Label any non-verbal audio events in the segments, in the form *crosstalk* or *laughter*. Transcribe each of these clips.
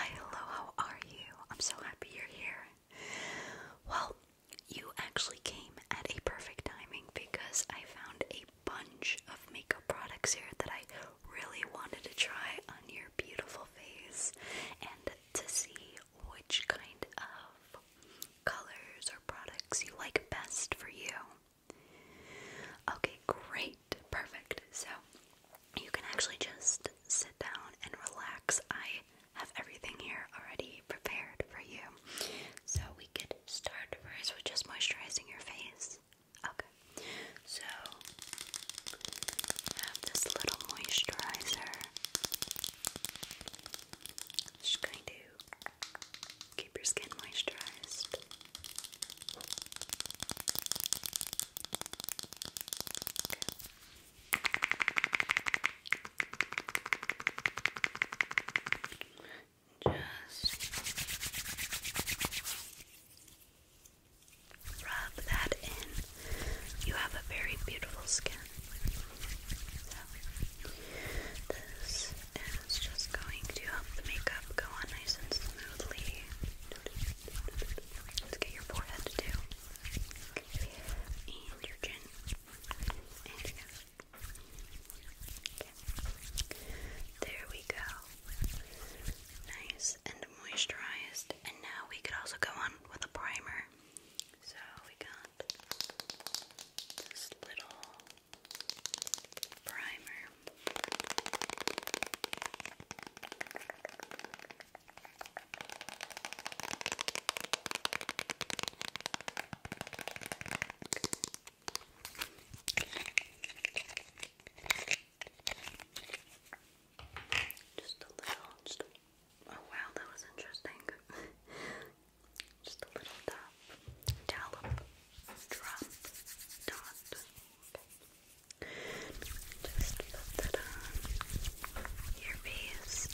Hi, hello, how are you? I'm so happy you're here. Well, you actually came at a perfect timing because I found a bunch of makeup products here that I really wanted to try on your beautiful face and to see which kind of colors or products you like best for you. Okay, great perfect. So you can actually just sit down and relax. I have everything here already prepared for you. So we could start first with just moisturizing your face. Okay. So have this little moisturizer. Just going to keep your skin moisturized. Just rub that in. You have a very beautiful skin. this is just going to help the makeup go on nice and smoothly. Let's get your forehead too. And your chin. There we go. Nice and moisturized. And now we could also go on with a primer. So we got this little primer. Just a little, just a, oh wow, that was interesting. *laughs* just a little dab, dollop, drop, dot, just put that on your face.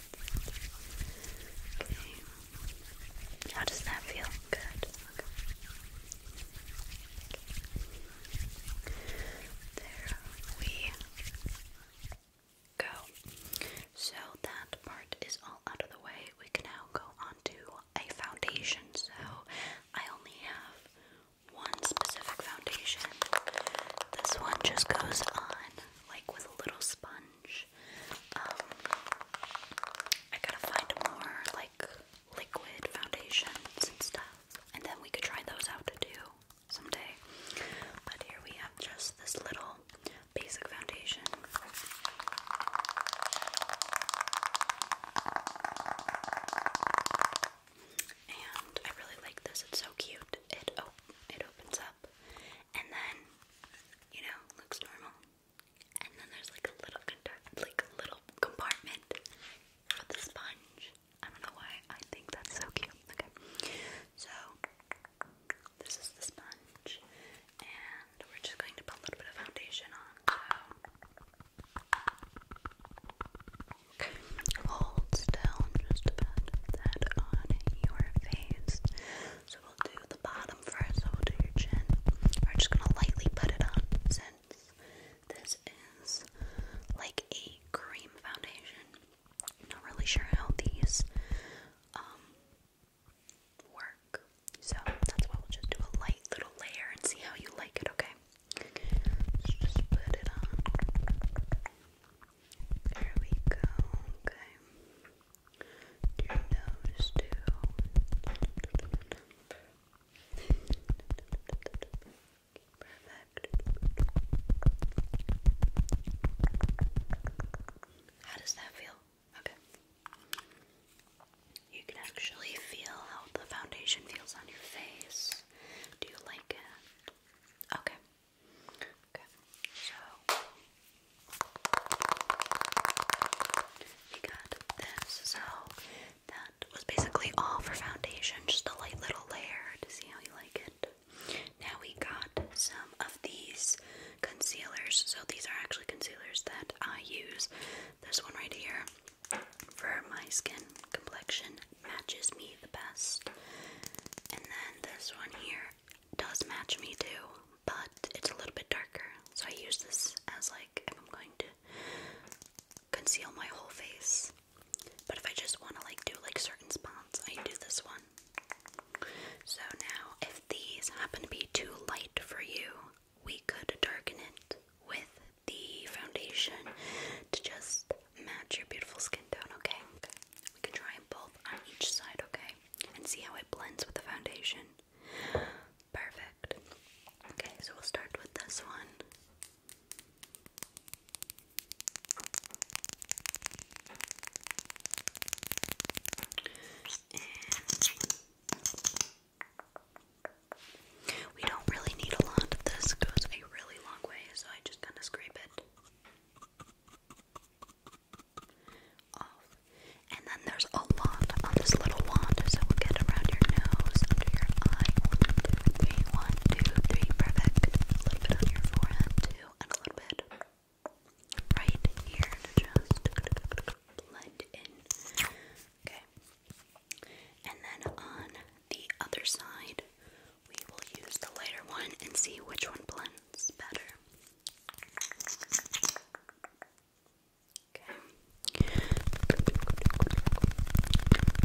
Okay. How does that feel? Good. There we go. So that part is all out of the way. We can now go on to a foundation. So I only have one specific foundation. This one just goes on like with a little sponge. Um, I gotta find more like liquid foundations and stuff, and then we could try those out too someday. But here we have just this little basic foundation and I really like this. It's so cute. It op it opens up, and then you know looks normal, and then there's like a little like a little compartment for the sponge. I don't know why I think that's so cute. Okay, so this is the sponge, and we're just going to put a little bit of foundation on. Hold still just about that on your face. So we'll do the bottom first, so we'll do your chin. We're just gonna lightly put it on since this is like a cream foundation. Not really sure how these um work. So that's why we'll just do a light little layer and see how you like it, okay? Let's just put it on. There we go. Okay. Your nose too. How does that feel? Okay. You can actually feel how the foundation feels on your face. Do you like it? Okay. Okay. So we got this. So that was basically all for foundation, just a light little layer to see how you like it. Now we got some of these concealers. So these are actually concealers that I use. This one right here for my skin complexion matches me the best. And then this one here does match me too, but it's a little bit darker. So I use this as like if I'm going to conceal my whole face. But if I just want to like do like certain spots, I do this one. So now if these happen to be too light for you, we could darken it with the foundation to just match your beautiful skin tone, okay? We can try both on each side, okay? And see how it blends with the foundation. Perfect. Okay, so we'll start with this one. We don't really need a lot. This goes a really long way, so I just kind of scrape it off. And then there's a lot on this little wand, so we'll get around your nose, under your eye. One, two, three. Perfect. A little bit on your forehead, too, and a little bit right here to just blend in. Okay. And then on the other side, we will use the lighter one and see which one blends better. Okay.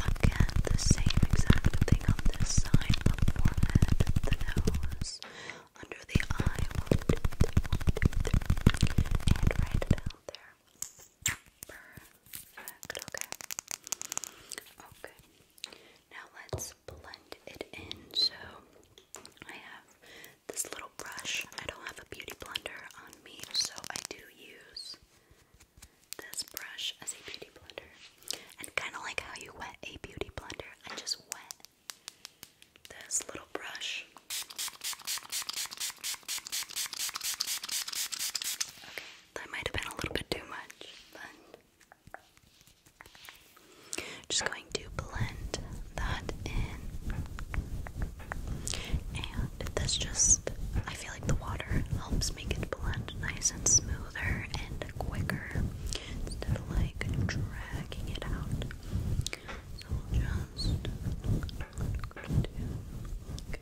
Again, the same exact thing on this side, on the forehead, the nose, under the eye, and right down there. Okay. Okay. Now let's blend it in. So I have this little brush. I don't have a beauty blender on me, so I do use this brush as a beauty blender. And kind of like how you wet a beauty blender, I just wet this little brush that might have been a little bit too much, but just going to blend that in. And that's just, I feel like the water helps make it blend nice and smoother and quicker instead of like dragging it out. So we'll just. Okay.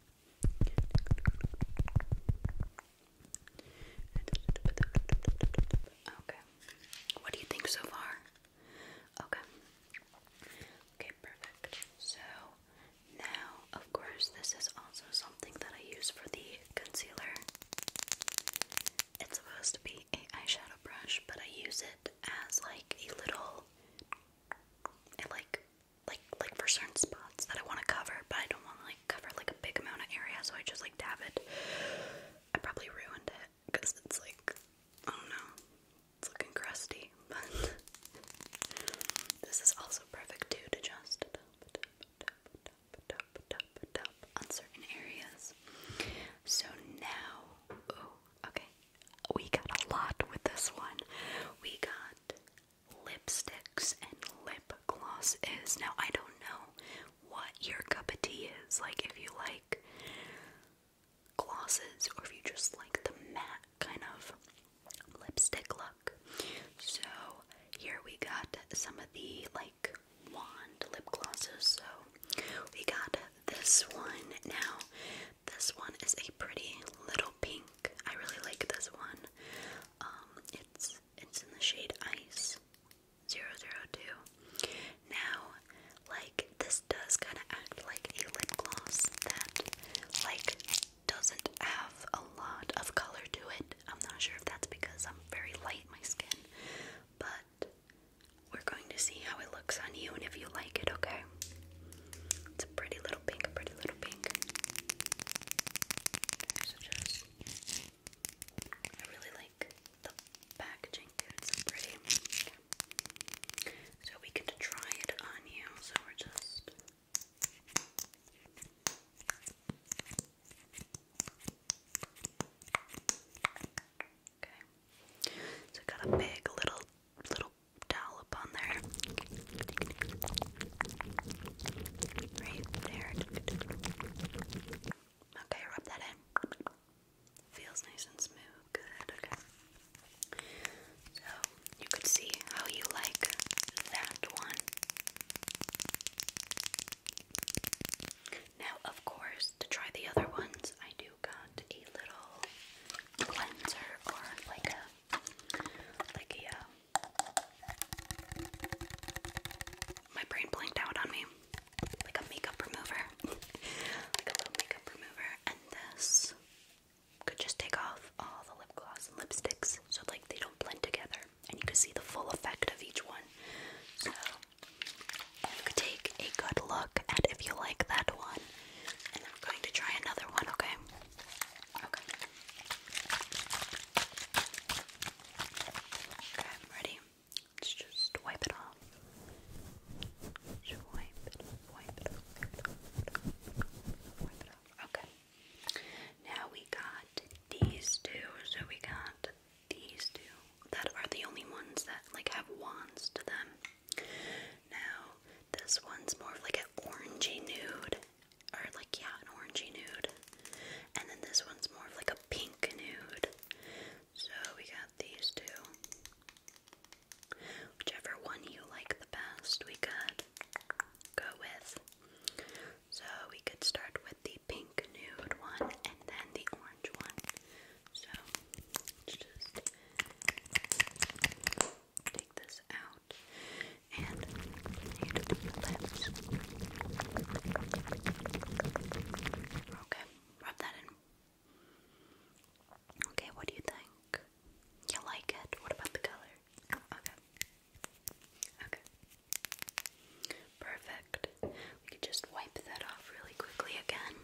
Okay. What do you think so far? Okay. Okay, perfect. So now, of course, this is also something that I use for the concealer. It's supposed to be a eyeshadow brush, but I use it as like a little it like like like for certain spots that I want to cover, but I don't want to like cover like a big amount of area, so I just like dab it. I probably ruined it because it's like I don't know, it's looking crusty. *laughs* But this is also perfect too to just dab, dab, dab, dab, dab, dab, on certain areas. So now, oh, okay, we got a lot with this one. We got lipsticks and lip glosses. Now, I don't know what your cup of tea is. Like, if you like glosses or if you just like the matte kind of lipstick look. So, here we got some of the like wand lip glosses. So, we got this one. Now, this one is a pretty little pink. I really like this one. Um, it's it's in the shade Ice 002. Now, like this does kind of act like a lip gloss that like doesn't have a lot of color to it. I'm not sure if that's because I'm very light my skin, but we're going to see how it looks on you and if you like it, okay? It's a pretty little pink, pretty little pink. So just, I really like the packaging, It's pretty. So we get to try it on you. So we're just. Okay. So I got a big little little towel up on there. Okay, rub that in. Feels nice and smooth. Good, okay. So, you could see how you like that one. Now, of course, to try the other ones, I do got a little cleanser or like a like, yeah. My brain blinked out on me. Like a makeup remover. *laughs* like a little makeup remover. And this could just take off all the lip gloss and lipsticks so, like, they don't blend together. And you can see the full effect of each one. So, you could take a good look at if you like that one. And I'm going to try another one, okay? Okay. Okay, I'm ready. Let's just wipe it off. wipe it off, wipe it off, Okay. Now we got these two, so we got these two that are the only ones that like have wands to them. Now this one's more of like an orangey nude, or like, yeah, an orangey nude. And then this one's more of like a pink nude. So we got these two. Whichever one you like the best, we could go with. So we could start with the pink nude one and then the orange one. So just take this out and do the lips. Okay, rub that in. Okay, what do you think? You like it? What about the color? okay. Okay. Perfect. We could just wipe that off really quickly again.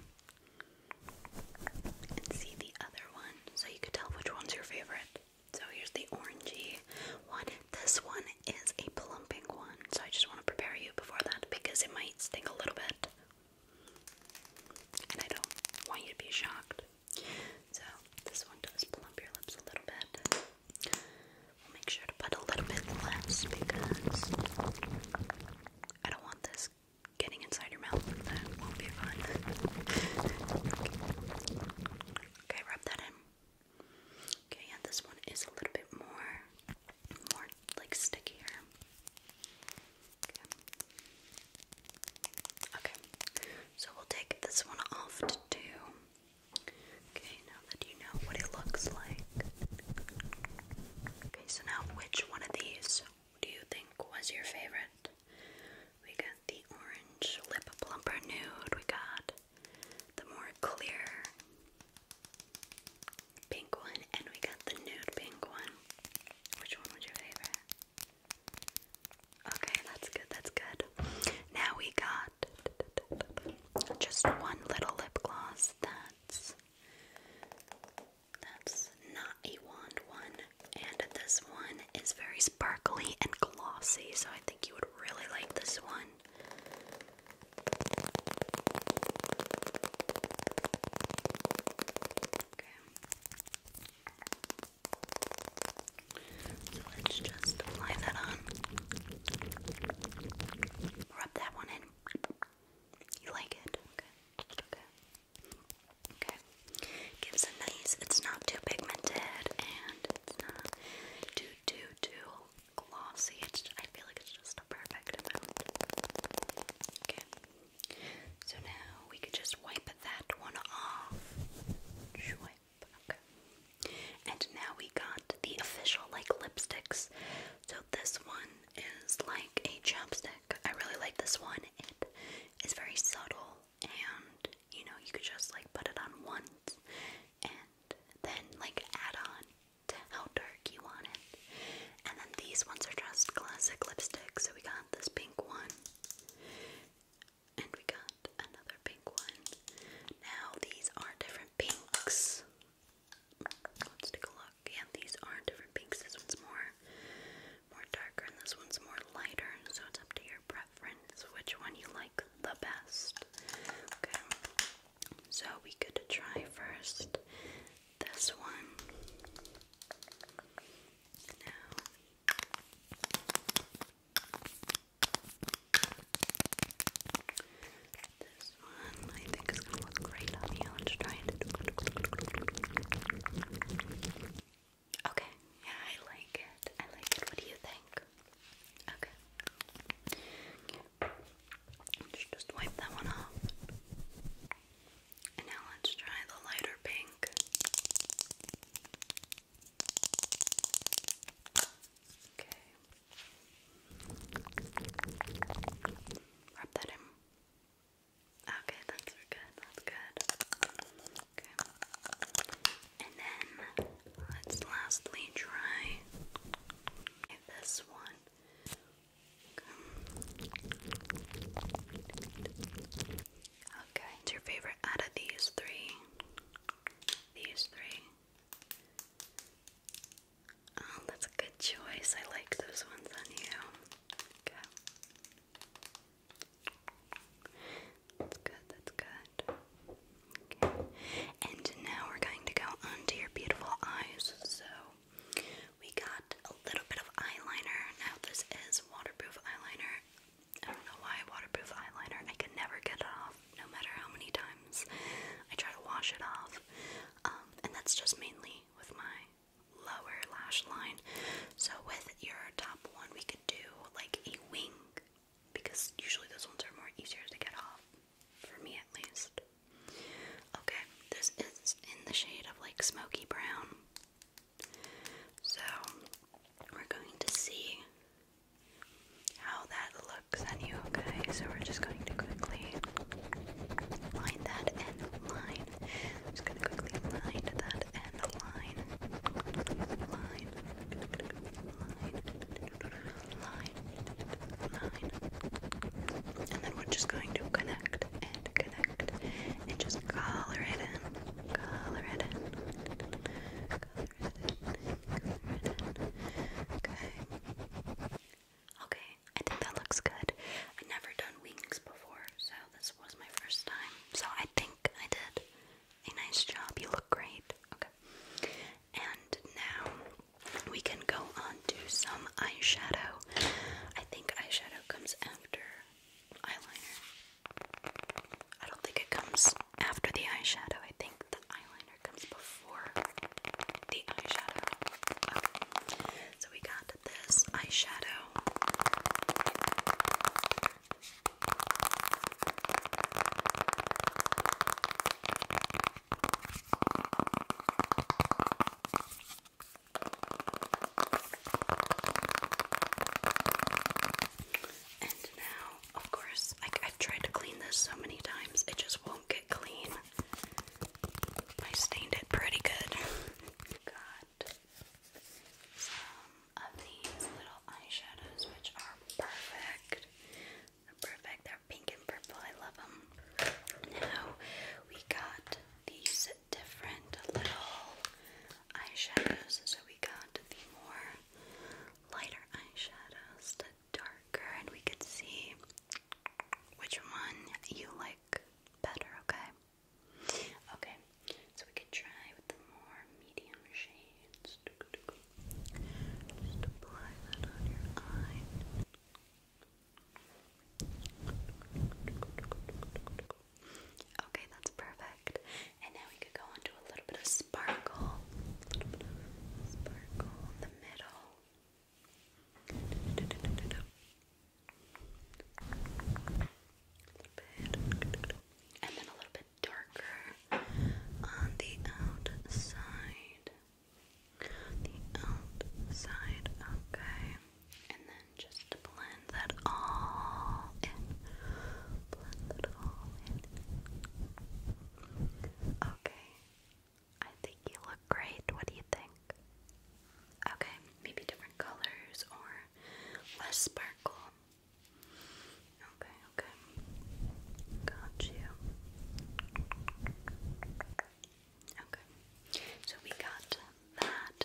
And see the other one so you can tell which one's your favorite. So here's the orangey one. This one is a plumping one, so I just want to prepare you before that because it might sting a little bit. And I don't want you to be shocked. So this one does plump your lips a little bit. We'll make sure to put a little bit less because I don't want this getting inside your mouth. That won't be fun. okay. rub that in. Okay, yeah, this one is a little bit more, more like stickier. Okay. so we'll take this one off to Okay, now that you know what it looks like. Okay, so now which one of these do you think was your favorite? We got the orange lip plumper nude. We got the more clear pink one, and we got the nude pink one. Which one would you favor? Okay, that's good, that's good. Now we got just one little lip gloss that's that's not a wand one. And this one is very sparkly and glossy, so I think you would really like this one. Okay. So let's just apply that on. Rub that one in. You like it? Okay. Okay. Okay. Gives a nice, it's not too pigmented and it's not too, too, too glossy. It's, I feel like it's just a perfect amount. Okay. So now we could just wipe that one off. Wipe. Okay. And now we got the official like lipsticks. So this one is like a chapstick. I really like this one. It's very subtle and you know you could just like put it on once and then like add on to how dark you want it. And then these ones are just classic lipsticks. So we got this pink one and we got another pink one. Now these are different pinks. Let's take a look. Yeah, these are different pinks. This one's more more darker and this one's more lighter, so it's up to your preference which one you like the best. Okay, so we could try first this one. this one I think is going to look great on you. Let's try it. Okay, yeah, I like it. I like it. What do you think? Okay. Just wipe that one off. And now let's try the lighter pink. Okay. Rub that in. Okay, that's good. That's good. Okay. And then let's lastly try this one. Okay, what's your favorite out of these three? These three. Oh, that's a good choice. I like those ones on you. Okay. That's good, that's good. Okay. And now we're going to go onto your beautiful eyes. So we got a little bit of eyeliner. Now this is waterproof eyeliner. I don't know why waterproof eyeliner. I can never get it off, no matter how many times I try to wash it off. Um, and that's just mainly with my lower lash line. So with your top one, we could do like a wing because usually those ones are more easier to get off, for me at least. Okay, this is in the shade of like smoky brown. So we're going to see how that looks on you, okay? So we're just going to quickly line that and line i just gonna quickly line that end line. Line. Line. Line. Line. And then we're just going to connect and connect and just color it in. Color it in. Color it in. Color it in. Okay. Okay, I think that looks good. I've never done wings before, so this was my first time, so I think I did a nice job. You look great. Okay. And now we can go on to some eyeshadow. I think eyeshadow comes after eyeliner. I don't think it comes after the eyeshadow. I think the eyeliner comes before the eyeshadow. Okay. So we got this eyeshadow. And now, of course, I've tried to clean this so many times, it just won't get clean. I stained it pretty good. God, *laughs* some of these little eyeshadows, which are perfect. perfect. They're pink and purple. I love them. Now we got these different little eyeshadows. So we got the more lighter eyeshadows, the darker, and we could see which one you like better. Okay. Okay, so we could try with the more medium shades. Okay, that's perfect. And now we could go on a little bit of sparkle. sparkle in the middle bit. And then a little bit darker on the outside. The outside, okay. And then just blend that all in. Blend that all in. Okay. I think you look great. What do you think? Okay, maybe different colors or less sparkle. Okay, okay. Got you. Okay, so we got that.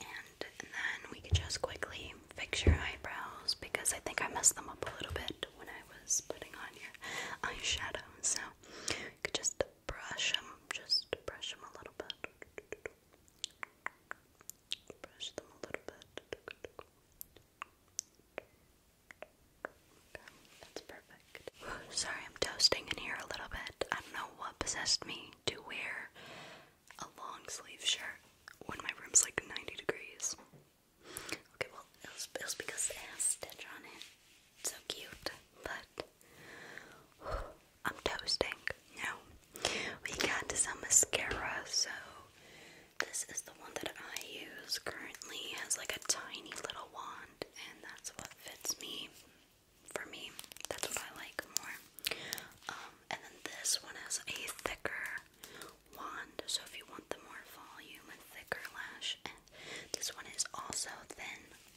And then we could just quickly fix your eyebrows because I think I messed them up a little bit when I was putting on your eyeshadow. So we could just brush them, just brush them a little bit. Brush them a little bit. that's perfect. Sorry, I'm toasting in here a little bit. I don't know what possessed me to wear a long sleeve shirt when my room's like 90 degrees. Okay, well, it was, because it has Stitch on it so cute, but I'm toasting now. We got some mascara, so this is the one that I use currently. It has like a tiny little wand, and that's what fits me. For me, that's what I like more. Um, and then this one has a thicker wand, so if you want the more volume and thicker lash, and this one is also thin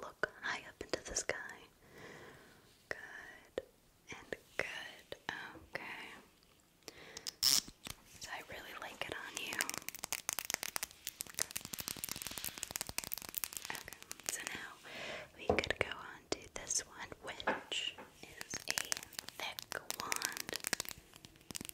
Look high up into the sky. Good and good. Okay. I really like it on you. Okay, so now we could go on to this one, which is a thick wand and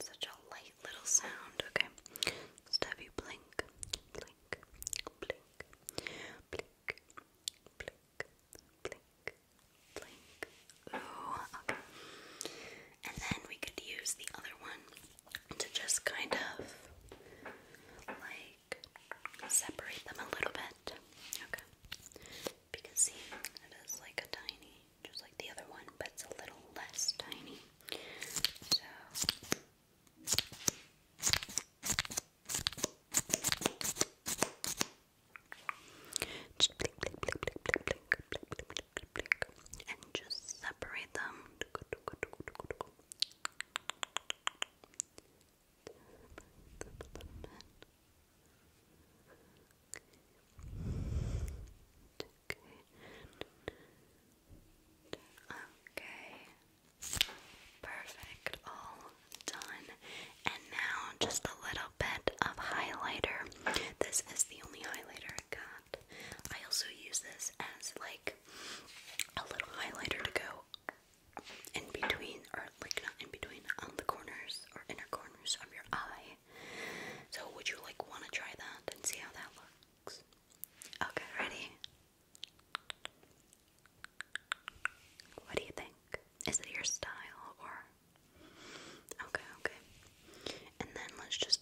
such a light little sound. Okay, just you blink, blink, blink, blink, blink, blink, blink. And then we could use the other one to just kind of like separate them a little bit. Okay. Because see, it is like a tiny, just like the other one, but it's a little less tiny. So just blink, and just separate them. Okay. Perfect, all done. And now just a little bit of highlighter. This is the only highlighter I got. I also use this as like a little highlighter to go in between, or like not in between, on the corners or inner corners of your eye. So, would you like want to try that and see how that looks? Okay, ready? What do you think? Is it your style or okay, okay. And then let's just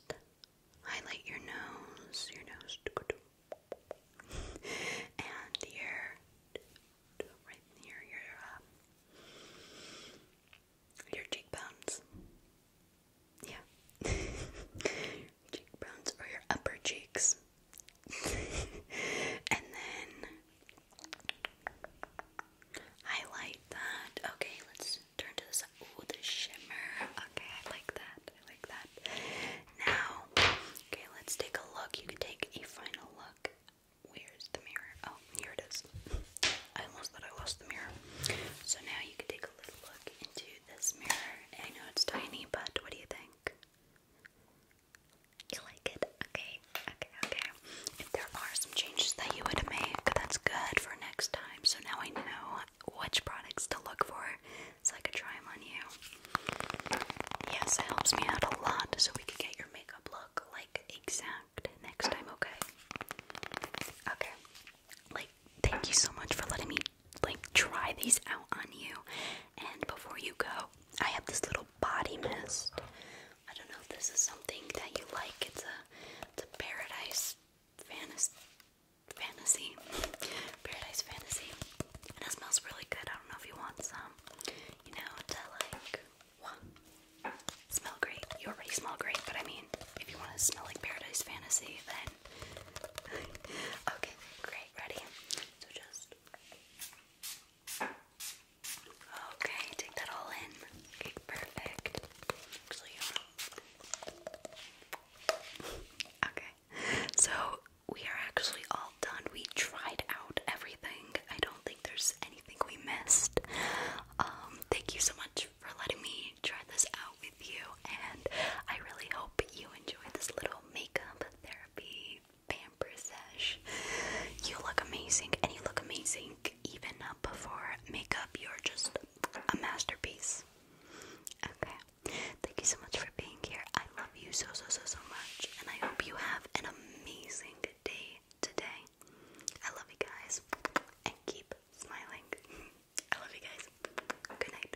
highlight your nose, your nose and your right near your uh, your cheekbones. Yeah. *laughs* cheekbones or your upper cheeks. *laughs* and then highlight that. Okay, let's turn to this. Ooh, the shimmer. Okay, I like that. I like that. Now, okay, let's take a look. You can take a final look. Where's the mirror? Oh, here it is. I almost thought I lost the mirror. So now you can take a little look into this mirror. I know it's tiny, but what do you think? You like it? Okay, okay, okay. If there are some changes that you would make, that's good for next time. So now I know which products to look for so I could try them on you. Yes, it helps me out a lot so we could get your makeup look like exact next time, okay? Okay. Like, thank you so much for letting me like try these out on you. And before you go, I have this little body mist. I don't know if this is something that you like. It's a it's a paradise fantasy fantasy. Paradise fantasy. And it smells really good. I don't know if you want some. You know, to like what? Smell great. You already smell great, but I mean, if you want to smell like paradise fantasy, then *laughs* okay, great, ready? So just Okay, take that all in. Okay, perfect. okay, so we are actually all done. We tried out everything. I don't think there's anything we missed. Um, thank you so much for letting me try this out with you, and I really hope you enjoyed this little makeup therapy pamper You look amazing, and you look amazing even up before makeup. You're just a masterpiece. Okay, thank you so much for being here. I love you so, so, so, so much, and I hope you have an amazing day today. I love you guys, and keep smiling. *laughs* I love you guys. Good night.